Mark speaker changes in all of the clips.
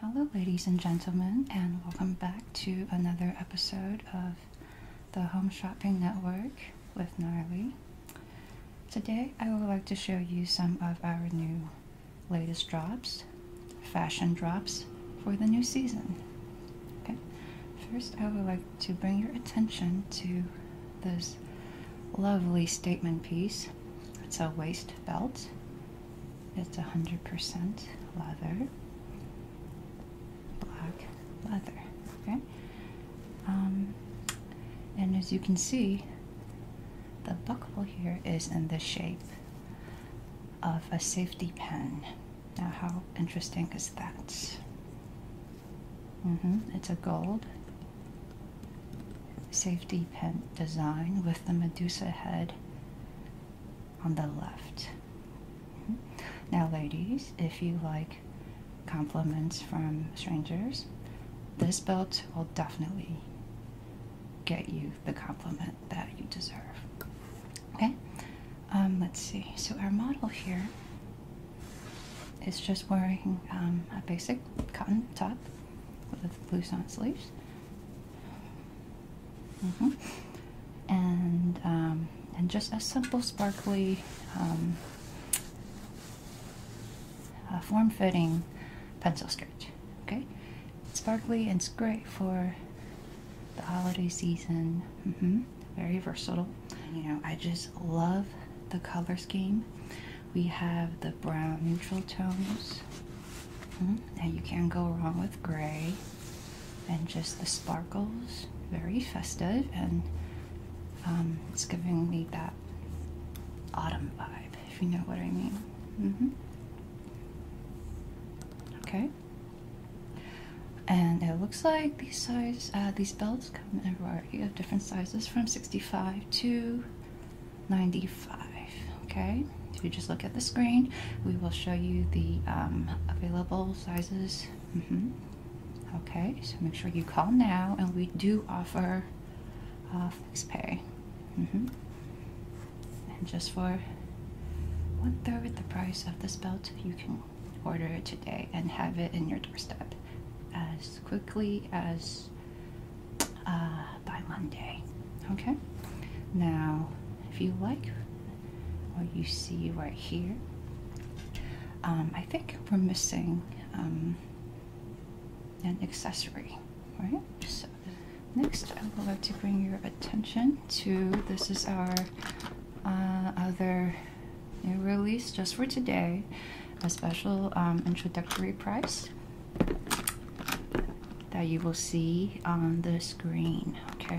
Speaker 1: Hello, ladies and gentlemen, and welcome back to another episode of the Home Shopping Network with Gnarly. Today, I would like to show you some of our new latest drops, fashion drops for the new season. Okay, first, I would like to bring your attention to this lovely statement piece. It's a waist belt it's 100% leather, black leather, okay? Um, and as you can see, the buckle here is in the shape of a safety pin. Now, how interesting is that? Mm-hmm, it's a gold safety pin design with the Medusa head on the left. Now, ladies, if you like compliments from strangers, this belt will definitely get you the compliment that you deserve. Okay, um, let's see. So, our model here is just wearing um, a basic cotton top with blues on sleeves. Mm And um, and just a simple sparkly, um, form-fitting pencil skirt. Okay, sparkly and it's great for the holiday season. Mm -hmm. Very versatile. You know, I just love the color scheme we have the brown neutral tones. Hmm, now you can't go wrong with gray. And just the sparkles, very festive, and um, it's giving me that autumn vibe, if you know what I mean. Mm-hmm. Okay. And it looks like these size, uh, these belts come in a variety different sizes, from 65 to 95 okay if you just look at the screen we will show you the um, available sizes mm-hmm, okay so make sure you call now and we do offer uh, fixed pay mm-hmm. and just for one third the price of this belt you can order it today and have it in your doorstep as quickly as uh, by Monday. Okay? Now, if you like what you see right here, um, I think we're missing um, an accessory, right? So, next, I would like to bring your attention to this is our uh, other new release just for today a special um, introductory price that you will see on the screen. Okay,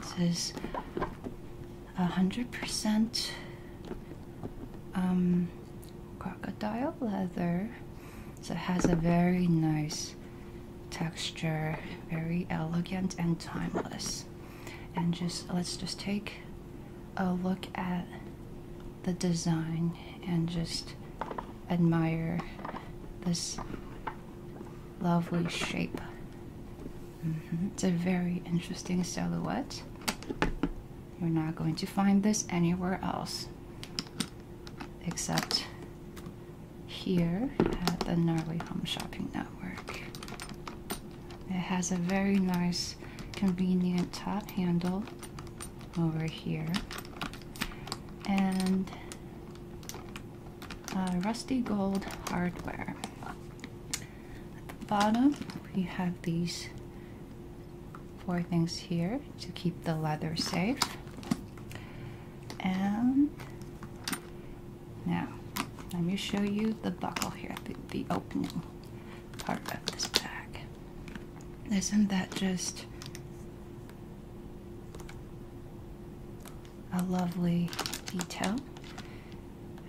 Speaker 1: this is a hundred percent um, crocodile leather, so it has a very nice texture, very elegant and timeless and just let's just take a look at the design and just admire this lovely shape. Mm-hmm. It's a very interesting silhouette. You're not going to find this anywhere else except here at the Gnarly Home Shopping Network. It has a very nice, convenient top handle over here. And uh, rusty gold hardware. At the bottom, we have these four things here to keep the leather safe. And now, let me show you the buckle here, the opening part of this bag. Isn't that just a lovely detail?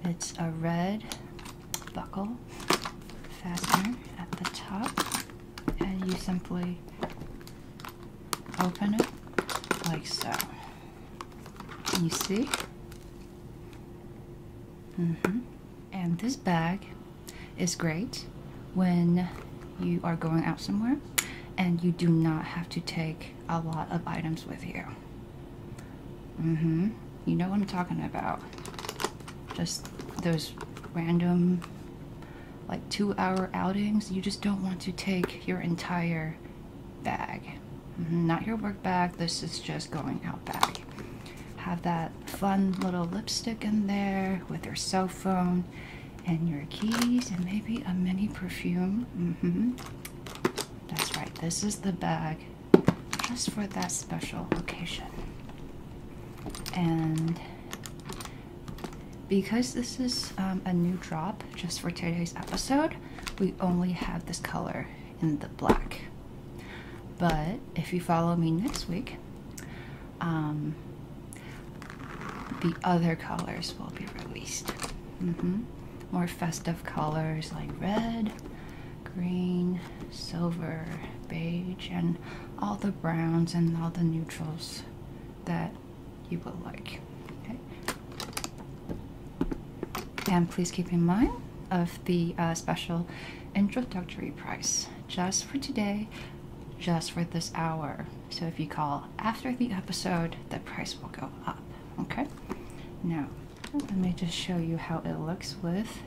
Speaker 1: It's a red buckle fastener at the top, and you simply open it like so. you see? Mm -hmm. And this bag is great when you are going out somewhere and you do not have to take a lot of items with you. Mm-hmm. You know what I'm talking about. Just those random, like two hour outings, you just don't want to take your entire bag. Mm-hmm, not your work bag, this is just going out bag. Have that fun little lipstick in there with your cell phone and your keys and maybe a mini perfume. Mm -hmm. That's right, this is the bag just for that special occasion. And because this is um, a new drop just for today's episode, we only have this color in the black. But if you follow me next week, um, the other colors will be released. Mm-hmm. More festive colors like red, green, silver, beige, and all the browns and all the neutrals that you will like. And please keep in mind of the uh, special introductory price just for today, just for this hour. So if you call after the episode, the price will go up. Okay? Now, let me just show you how it looks with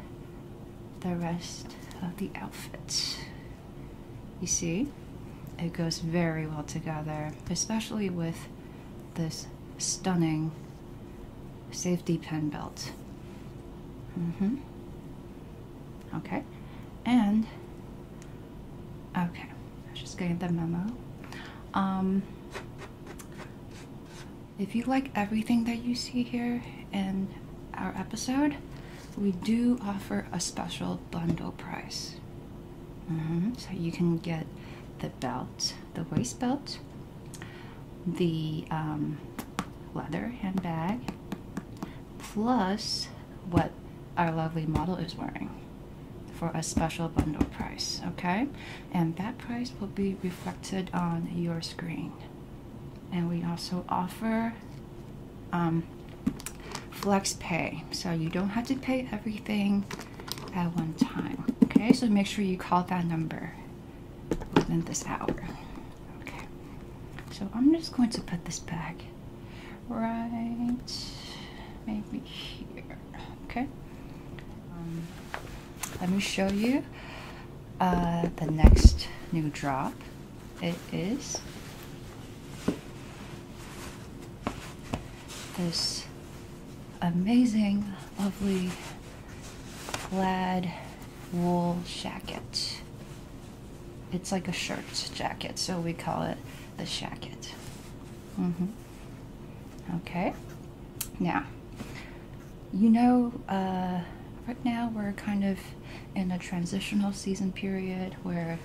Speaker 1: the rest of the outfit. You see? It goes very well together, especially with this stunning safety pin belt. Mm-hmm. Okay. And okay, I was just getting the memo. Um, if you like everything that you see here in our episode, we do offer a special bundle price. Mm-hmm. So you can get the belt, the waist belt, the um, leather handbag, plus what our lovely model is wearing for a special bundle price. Okay, and that price will be reflected on your screen. And we also offer um, flex pay. So you don't have to pay everything at one time. Okay, so make sure you call that number within this hour. Okay, so I'm just going to put this back right maybe here. Okay, um, let me show you uh, the next new drop. It is this amazing, lovely plaid wool jacket. It's like a shirt jacket, so we call it the jacket. Mm -hmm. Okay, now, you know, uh, right now we're kind of in a transitional season period where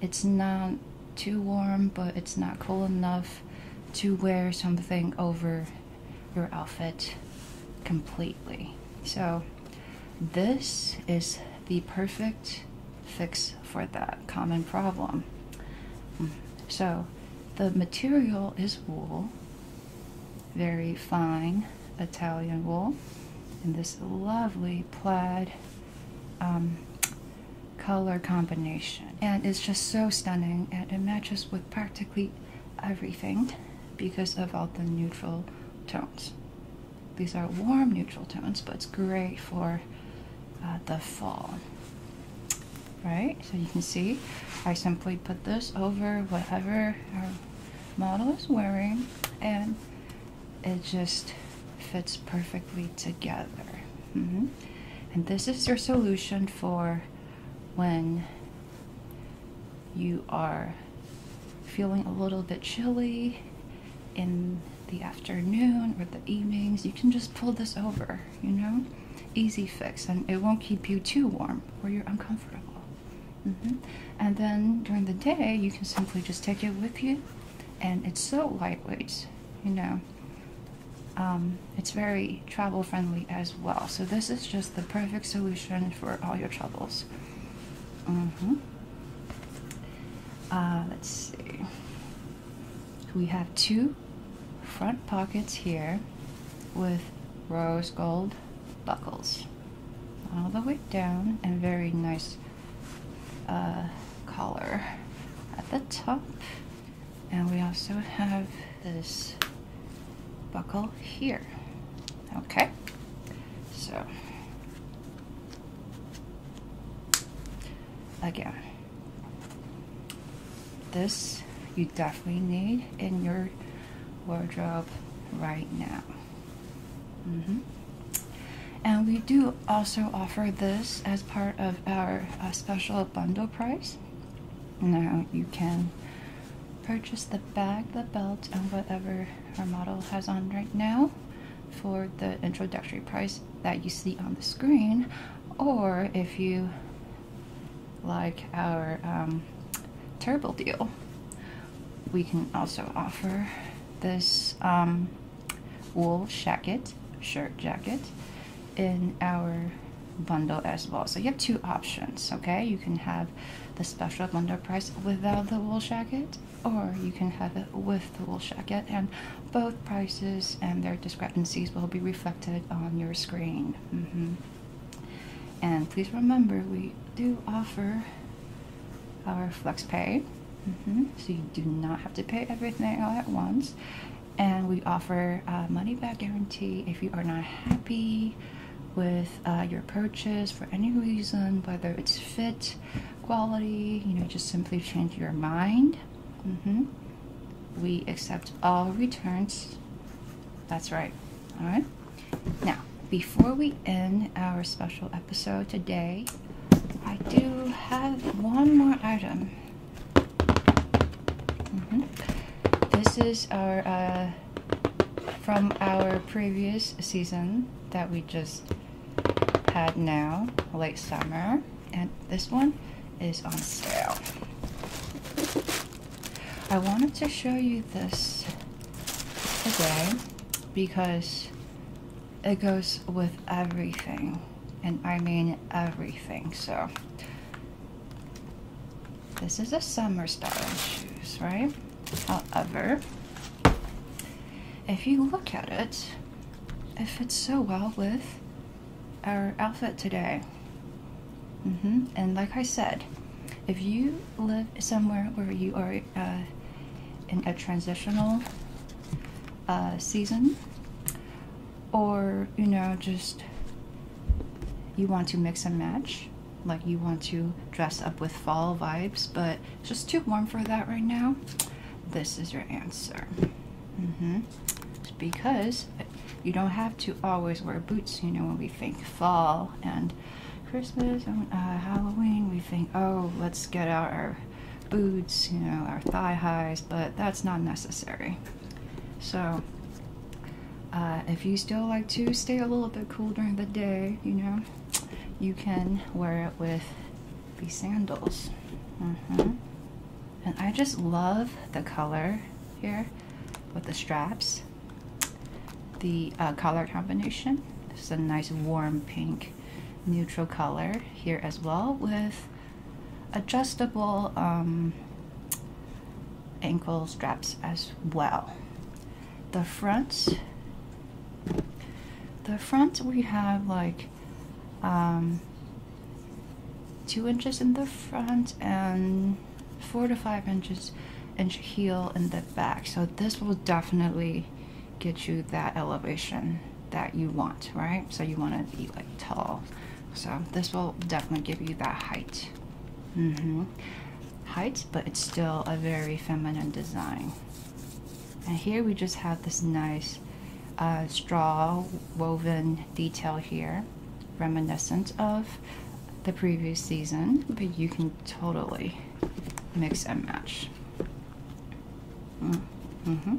Speaker 1: it's not too warm, but it's not cool enough to wear something over your outfit completely. So this is the perfect fix for that common problem. So the material is wool, very fine Italian wool, and this lovely plaid um, color combination. And it's just so stunning and it matches with practically everything because of all the neutral tones. These are warm neutral tones, but it's great for uh, the fall. Right, so you can see I simply put this over whatever our model is wearing and it just fits perfectly together. Mm-hmm. And this is your solution for when you are feeling a little bit chilly in the afternoon or the evenings. You can just pull this over, you know? Easy fix, and it won't keep you too warm or you're uncomfortable. Mm-hmm. And then during the day, you can simply just take it with you and it's so lightweight, you know. Um, it's very travel friendly as well. So this is just the perfect solution for all your travels. Mm -hmm. Uh, let's see. We have two front pockets here with rose gold buckles all the way down and very nice uh, collar at the top. And we also have this buckle here. Okay, so again, this you definitely need in your wardrobe right now. Mm-hmm. And we do also offer this as part of our uh, special bundle price. Now you can purchase the bag, the belt, and whatever our model has on right now for the introductory price that you see on the screen. Or if you like our um, terrible deal, we can also offer this um, wool jacket, shirt jacket, in our bundle as well. So you have two options, okay? You can have the special bundle price without the wool jacket, or you can have it with the wool jacket, and both prices and their discrepancies will be reflected on your screen. Mm-hmm. And please remember, we do offer our flex pay. Mm-hmm. So you do not have to pay everything all at once. And we offer a uh, money back guarantee if you are not happy with uh, your purchase for any reason, whether it's fit, quality, you know, just simply change your mind. Mm-hmm. We accept all returns. That's right. All right. Now, before we end our special episode today, I do have one more item. Mm-hmm. This is our uh, from our previous season that we just had now, late summer, and this one is on sale. I wanted to show you this today because it goes with everything and I mean everything so this is a summer style shoes right however if you look at it it fits so well with our outfit today Mm -hmm. And like I said, if you live somewhere where you are uh, in a transitional uh, season, or you know, just you want to mix and match, like you want to dress up with fall vibes, but it's just too warm for that right now, this is your answer. Mm -hmm. Because you don't have to always wear boots, you know, what we think fall and Christmas and uh, Halloween, we think, oh, let's get out our boots, you know, our thigh highs, but that's not necessary. So, uh, if you still like to stay a little bit cool during the day, you know, you can wear it with these sandals. Mm-hmm. And I just love the color here with the straps. The uh, color combination This is a nice warm pink neutral color here as well with adjustable um, ankle straps as well. The front, the front we have like um, two inches in the front and four to five inches inch heel in the back so this will definitely get you that elevation that you want right so you want to be like tall so this will definitely give you that height mm-hmm. height but it's still a very feminine design and here we just have this nice uh, straw woven detail here reminiscent of the previous season, but you can totally mix and match. Mm-hmm.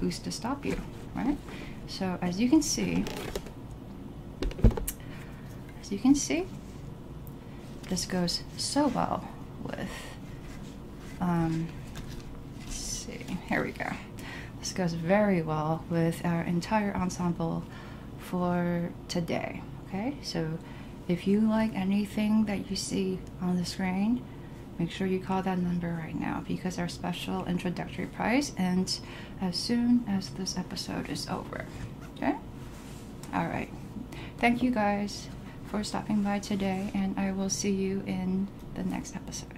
Speaker 1: Who's to stop you, right? So, as you can see, as you can see, this goes so well with. Um, let's see, here we go. This goes very well with our entire ensemble for today. Okay, so if you like anything that you see on the screen, make sure you call that number right now because our special introductory price ends as soon as this episode is over. Okay? All right. Thank you guys for stopping by today, and I will see you in the next episode.